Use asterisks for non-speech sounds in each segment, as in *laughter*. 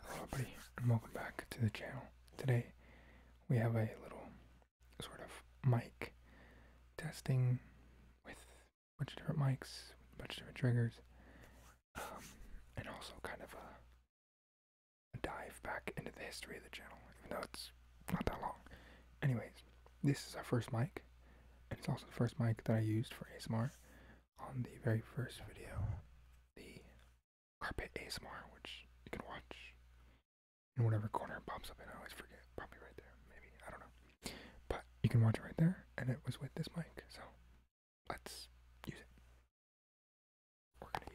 Hello everybody and welcome back to the channel. Today we have a little sort of mic testing with a bunch of different mics, a bunch of different triggers, um, and also kind of a dive back into the history of the channel, even though it's not that long. Anyways, this is our first mic, and it's also the first mic that I used for ASMR on the very first video, the carpet ASMR, which you can watch in whatever corner it pops up in. I always forget. Probably right there, maybe. I don't know. But you can watch it right there, and it was with this mic. So let's use it. We're going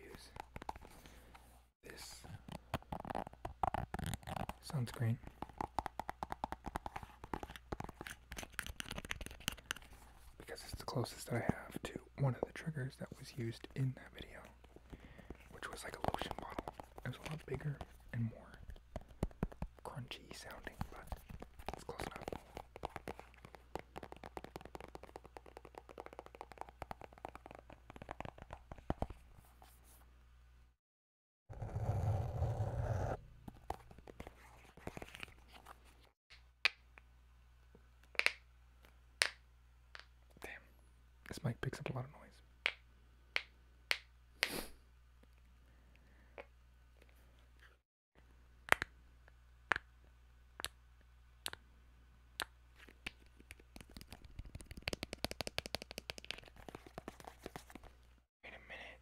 to use this sunscreen because it's the closest that I have to one of the triggers that was used in that video, which was like a lotion bottle. It was a lot bigger and more crunchy sounding, but it's close enough. Damn, this mic picks up a lot of noise. Wait a minute.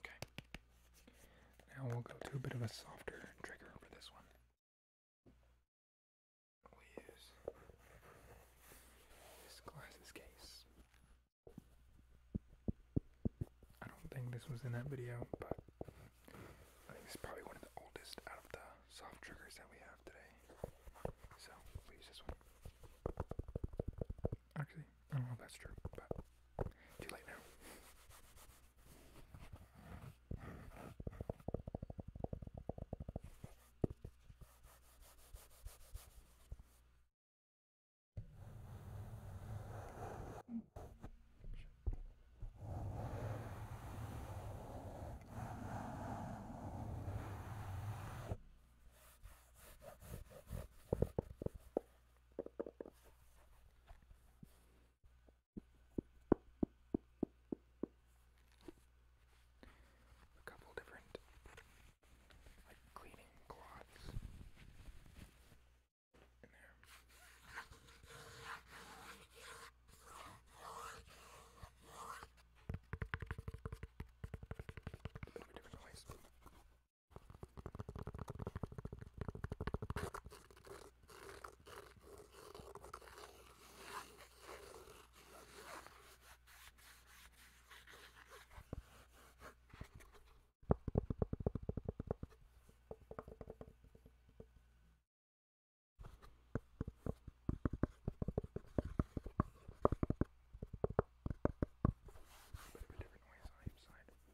Okay. Now we'll go to a bit of a softer trigger for this one. we use this glasses case. I don't think this was in that video, but I think it's probably one of the oldest out of the soft triggers that we have today. So we use this one. Actually, I don't know if that's true, but too late now. A couple different like cleaning cloths in there. different ways bit of a different noise on each side.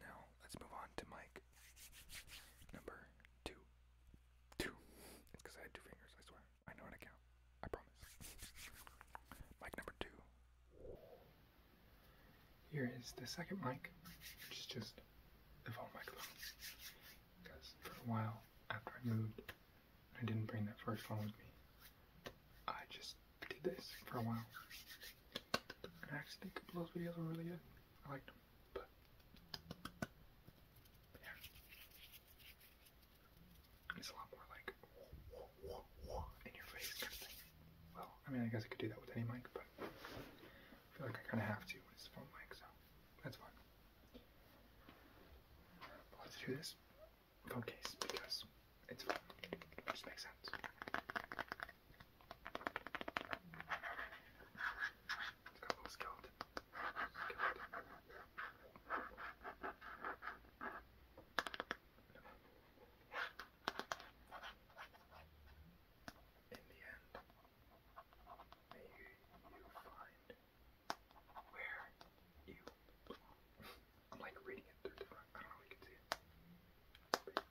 now let's move on to mic number two. Two. It's because I had two fingers, I swear. I know how to count. I promise. mic number two. Here is the second mic, which is just the phone microphone. Because for a while after I moved, I didn't bring that first phone with me. I just did this for a while. And actually, a those videos were really good. I liked them. But, yeah. It's a lot more like in your face kind of thing. Well, I mean, I guess I could do that with any mic, but I feel like I kind of have to when it's phone mic, so that's fine. let's do this phone case because It just makes sense. It's got a little skeleton. skeleton. In the end, may you, you find where you belong. I'm like reading it through different. I don't know if you can see it. But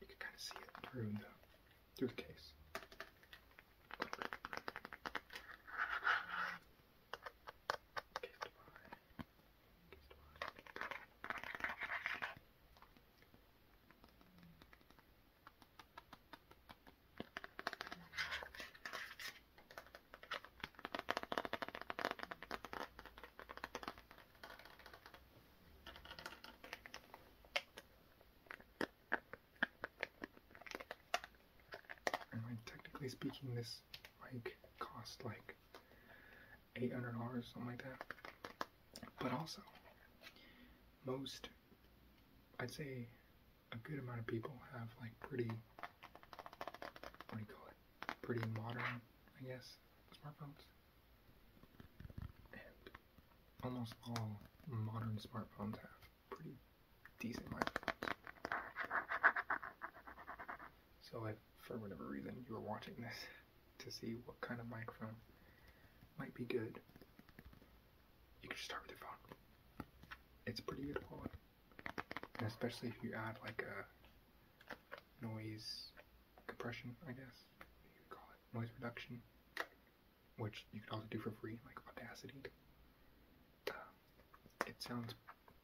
you can kind of see it through the through the case. Kissed by, kissed by. All technically speaking, this mic cost like eight hundred dollars, something like that. But also, most, I'd say, a good amount of people have like pretty, what do you call it, pretty modern, I guess, smartphones almost all modern smartphones have pretty decent microphones. So if for whatever reason you were watching this *laughs* to see what kind of microphone might be good, you can just start with your phone. It's pretty good quality. especially if you add like a noise compression, I guess you call it, noise reduction, which you can also do for free, like Audacity. Uh, it sounds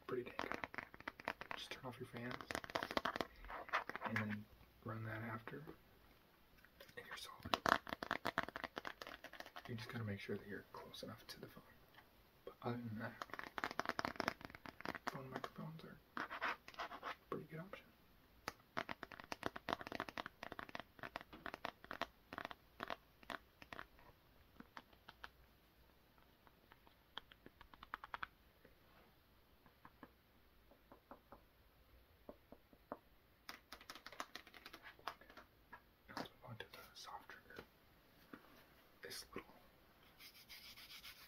pretty dang good. Just turn off your fans and then run that after, and you're solid. You just gotta make sure that you're close enough to the phone. But other than that, phone microphones are Pretty good option. Now move on to the soft trigger. This little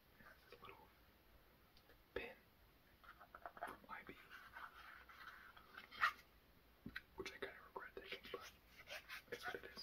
and the little pin from IB, which I kind of regret taking, but it's what it is.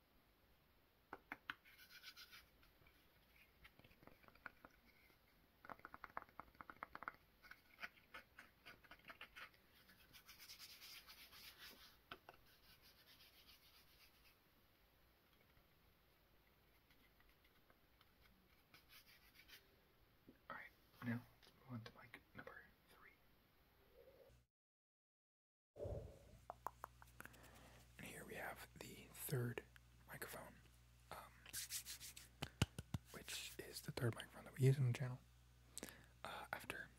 All right, now on to mic number three. And here we have the third microphone, um, which is the third microphone that we use in the channel. Uh, after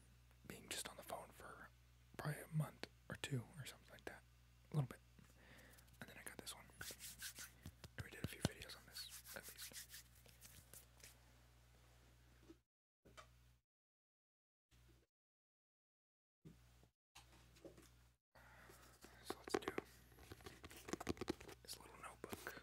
being just on the phone for probably a month or two or something like that, a little bit, and then I got this one. We did a few videos on this, at least. So let's do this little notebook.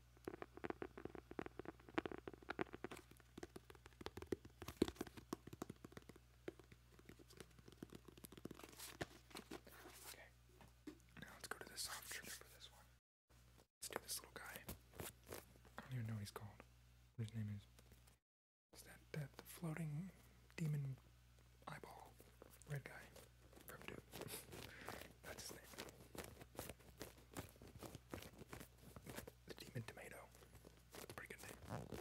Okay. Now let's go to the soft for this one. Let's do this little guy. I don't even know what he's called. What his name is. Is that, that the floating demon eyeball red guy from *laughs* That's his name. The Demon Tomato. Pretty good name.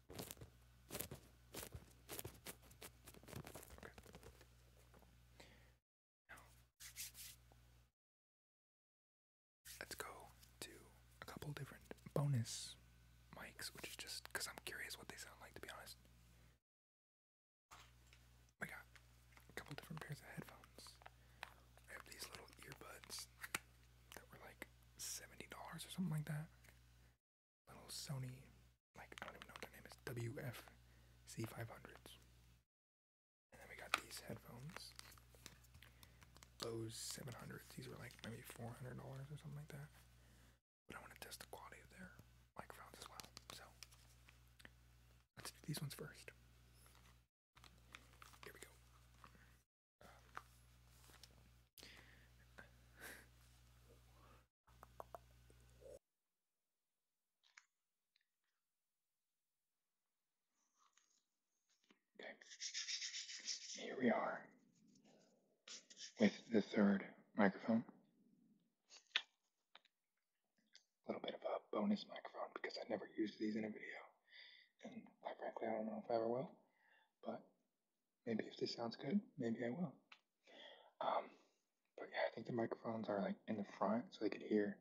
let's go to a couple different bonus mics, which is just I'm curious what they sound like, to be honest. I got a couple different pairs of headphones. I have these little earbuds that were like seventy dollars or something like that. Little Sony, like I don't even know what their name is, WF C five hundreds. And then we got these headphones, Bose seven hundreds. These were like maybe four hundred dollars or something like that. But I want to test the quality of their microphones as well. So let's do these ones first. Here we go. Okay. Here we are with the third microphone. A little bit of a bonus microphone because I never used these in a video. And quite frankly, I don't know if I ever will. But maybe if this sounds good, maybe I will. Um, but yeah, I think the microphones are like in the front so they could hear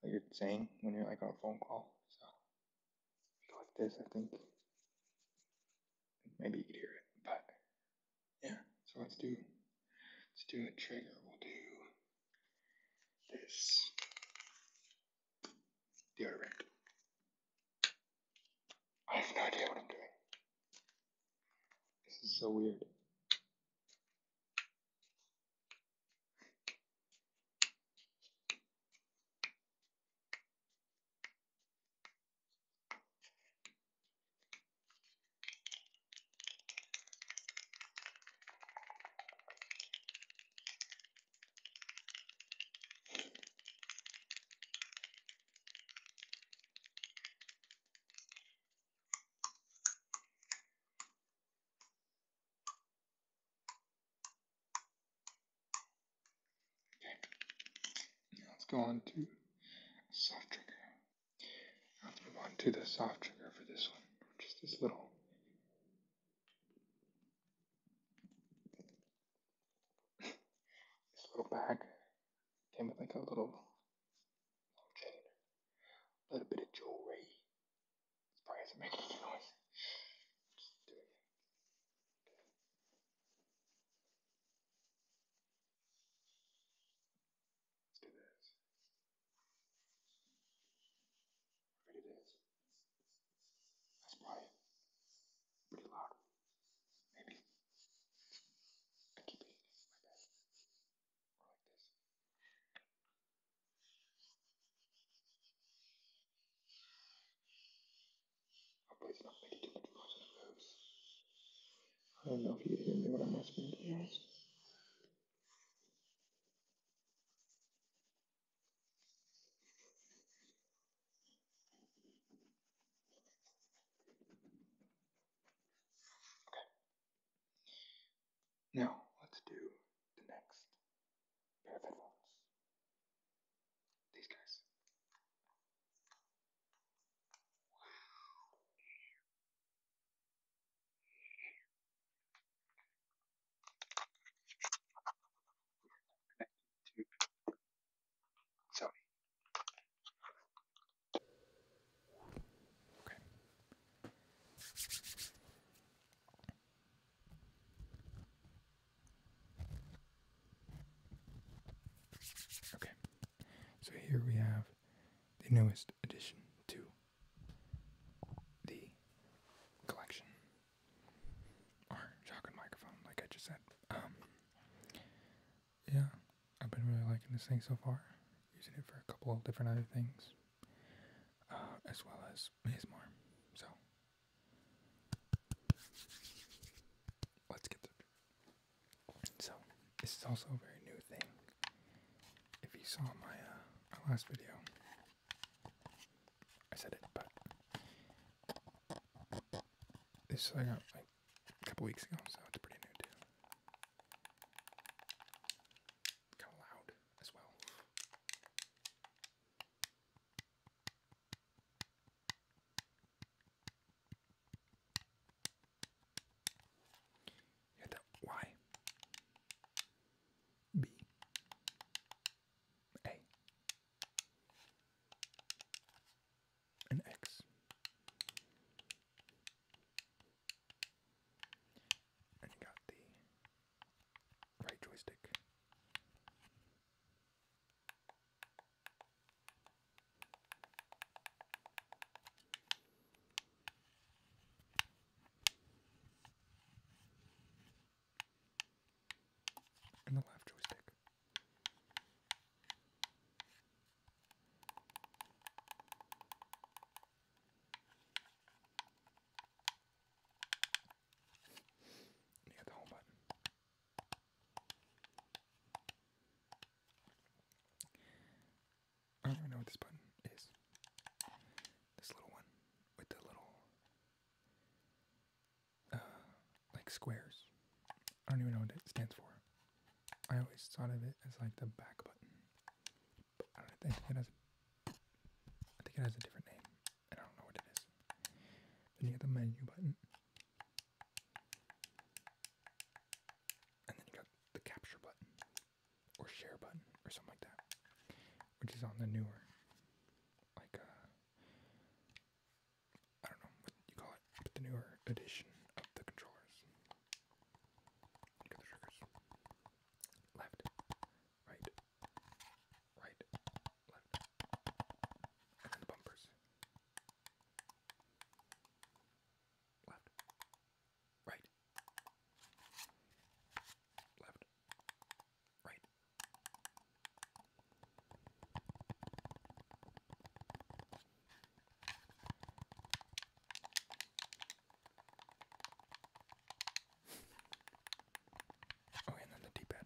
what you're saying when you're like on a phone call. So go like this, I think. Maybe you could hear it, but yeah. So let's do let's do a trigger. We'll do this deodorant. I have no idea what I'm doing. This is so weird. Okay, now let's go on to soft trigger. Let's move on to the soft trigger for this one, which is this little this little bag came with like a little chain, a little bit of jewelry. This probably not making any noise. Let's do this. I it is. Let's Pretty loud. Maybe. I keep it, like this. Hopefully it's not making too much noise in the moves. I don't know if you hear me what I'm asking to be Okay. Now, let's do the next pair of headphones. These guys. Sorry. Okay. Okay. So here we have the newest addition to the collection or shotgun microphone, like I just said. Um, yeah, I've been really liking this thing so far. Using it for a couple of different other things, uh, as well as ASMR. So, let's get to So, this is also a very new thing. If you saw my, uh, my last video, I said it, but this I got like a couple weeks ago, so it's pretty new too. Kind of loud as well. Yeah, that Y B. A. An X. And you got the right joystick and the left joystick. And the home button. I don't know what this button is. This little one with the little uh like squares. I don't even know what it stands for. I always thought of it as like the back button. I don't think it has a, I think it has a different name. I don't know what it is. Then you got the menu button. And then you got the capture button or share button or something like that, which is on the newer, like uh, I don't know what you call it, but the newer edition of the controllers. Look at the triggers. Left, right, right, left, and the bumpers. Left, right, left, right. oh, and then the D-pad.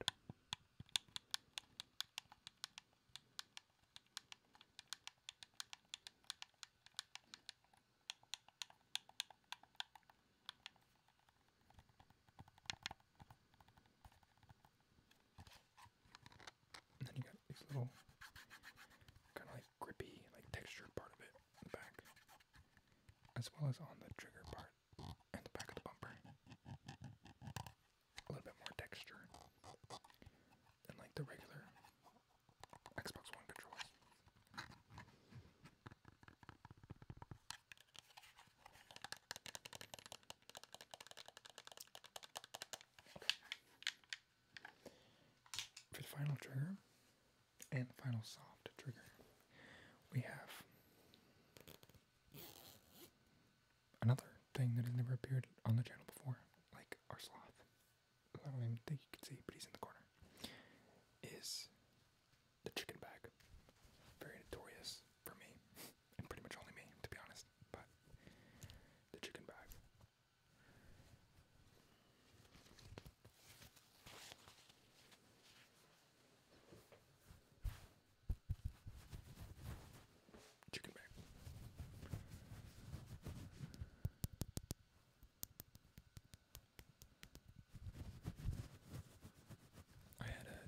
And then you got these little kind of like grippy, like textured part of it in the back, as well as on the trigger part and the back of the bumper. A little bit more texture than like the regular Xbox One controls. For final trigger and final soft trigger, we have another thing that has never appeared on the channel before, like our sloth. I don't even think you can see, but he's in the corner. Is the chicken bag very notorious for me, *laughs* and pretty much only me, to be honest. But the chicken bag. Chicken bag. I had a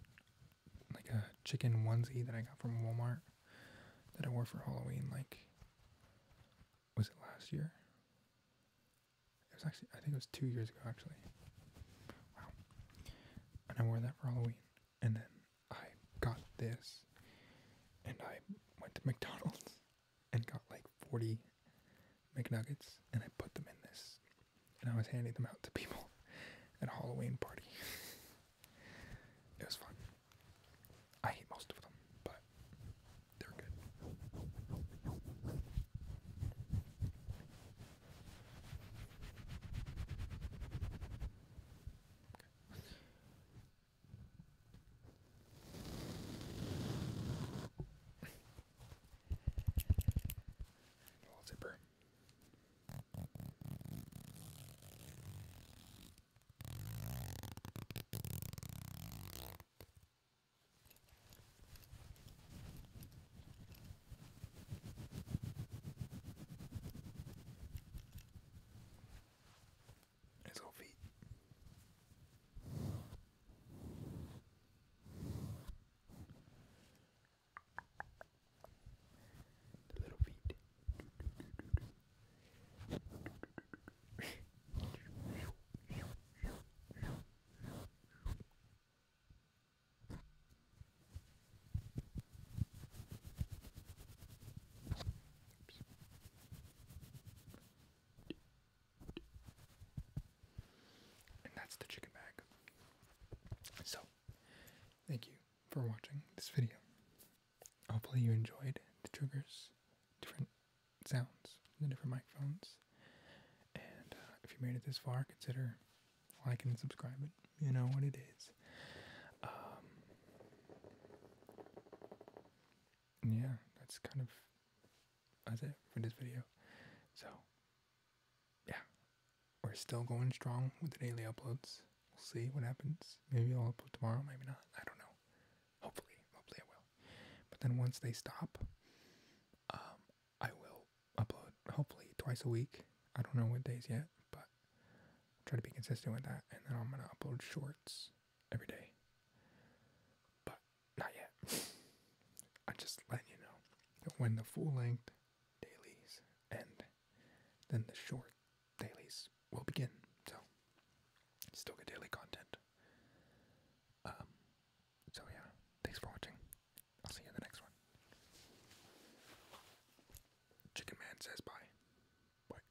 like a chicken onesie that I got from Walmart that I wore for Halloween. Like, was it last year? It was actually I think it was two years ago actually. Wow. And I wore that for Halloween, and then I got this, and I went to *laughs* McDonald's and got like 40 McNuggets and I put them in this. And I was handing them out to people *laughs* at a Halloween party. *laughs* it was fun. I hate most of them, but they're good. Little zipper. His little feet. The little feet. Oops. And that's the chicken bag. So, thank you for watching this video. Hopefully you enjoyed the triggers, different sounds, the different microphones. And uh, if you made it this far, consider liking and subscribing. You know what it is. Um, yeah, that's kind of that's it for this video. So, yeah, we're still going strong with the daily uploads. We'll see what happens. Maybe I'll upload tomorrow, maybe not. I don't know. Hopefully, hopefully I will. But then once they stop, um, I will upload hopefully twice a week. I don't know what days yet, but I'll try to be consistent with that. And then I'm gonna upload shorts every day. But not yet. I'm just letting you know that when the full length dailies end, then the short dailies will begin. So, still get daily content. Um, so, yeah, thanks for watching. I'll see you in the next one. Chicken Man says bye. Bye.